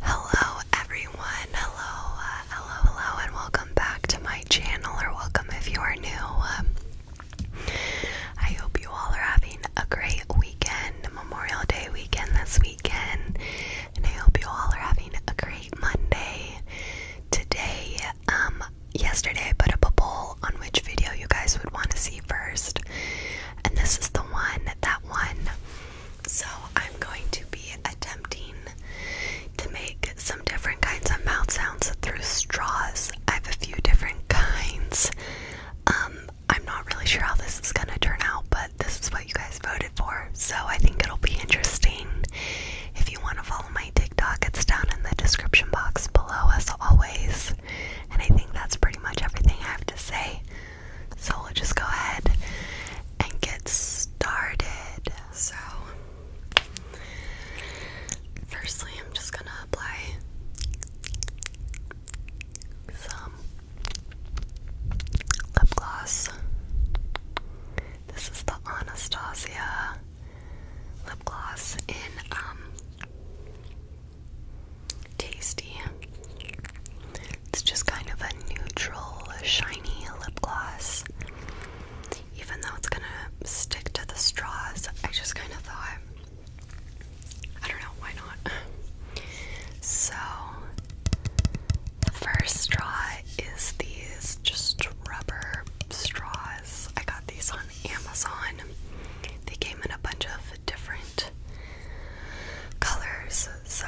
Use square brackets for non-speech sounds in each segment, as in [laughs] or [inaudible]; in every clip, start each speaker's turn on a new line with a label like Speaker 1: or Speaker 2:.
Speaker 1: Hello, everyone. Hello, uh, hello, hello, and welcome back to my channel, or welcome if you are new. Um, I hope you all are having a great weekend, Memorial Day weekend this weekend, and I hope you all are having a great Monday. Today, um, yesterday I put up a poll on which video you guys would want to see first, and this is the one, that one. So I'm going to be attempting to make some different kinds of mouth sounds through straws. I have a few different kinds. Um, I'm not really sure how this is gonna turn out, but this is what you guys voted for, so I think it'll be interesting. If you want to follow my TikTok, it's down in the description box below, as always. And I think that's pretty much everything I have to say. So we'll just go ahead and get started. So, firstly, I'm just gonna apply some lip gloss. This is the Anastasia lip gloss in um tasty. It's just kind of a neutral, shiny lip gloss. Even though it's gonna stick to the straws, I just kind of thought, I don't know, why not? [laughs] So, the first straw is these just rubber straws. I got these on Amazon. They came in a bunch of different colors, so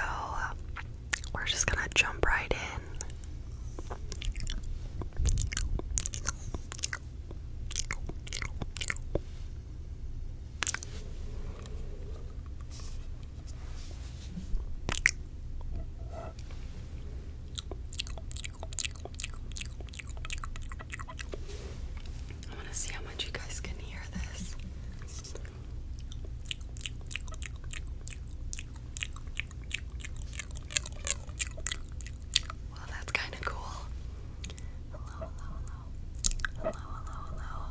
Speaker 1: we're just gonna jump right in. I want to see how much you guys can hear this. Well, that's kind of cool. Hello, hello, hello. Hello, hello,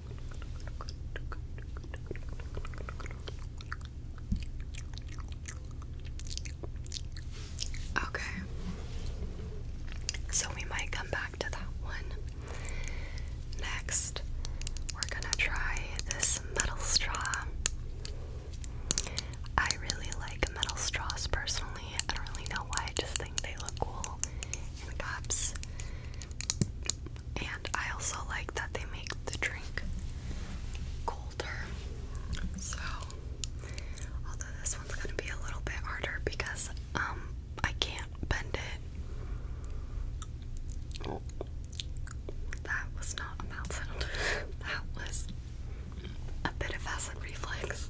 Speaker 1: Okay. So we might come back to that one. Next, we're going to try this metal straw. I really like metal straws personally. I don't really know why, I just think they look cool in cups. And I also like that they make the drink colder. So, although this one's gonna be a little bit harder because um I can't bend it. That was not a mouth [laughs] that was a bit of acid reflex.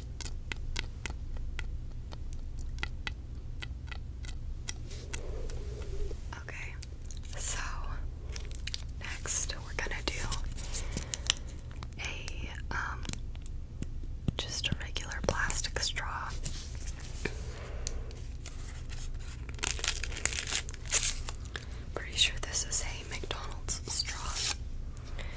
Speaker 1: Okay, so next we're gonna do a um, just a regular plastic straw. Pretty sure this is a McDonald's straw.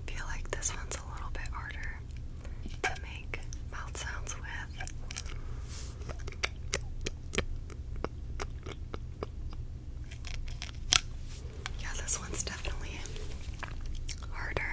Speaker 1: I feel like this one's a little bit harder to make mouth sounds with. Yeah, this one's definitely harder.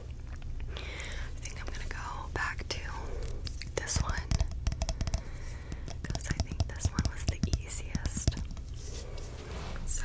Speaker 1: I think I'm gonna go back to this one because I think this one was the easiest. So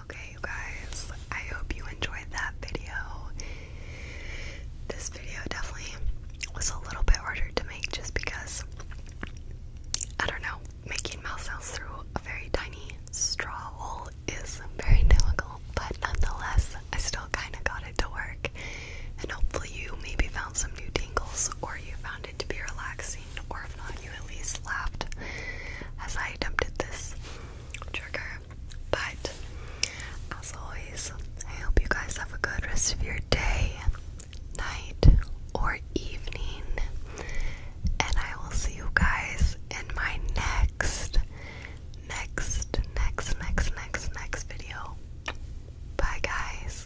Speaker 1: Okay, you guys, I hope you enjoyed that video. This video definitely was a little bit harder to make just because I don't know, making mouth sounds through a very tiny straw hole is very difficult, but nonetheless, I still kind of got it to work. And hopefully, you maybe found some new tingles or you found it to be relaxing or if not, you at least laughed as I attempted this trigger. But as always, I hope you guys have a good rest of your day, night, or evening, and I will see you guys in my next, next, next, next, next, next video. Bye, guys.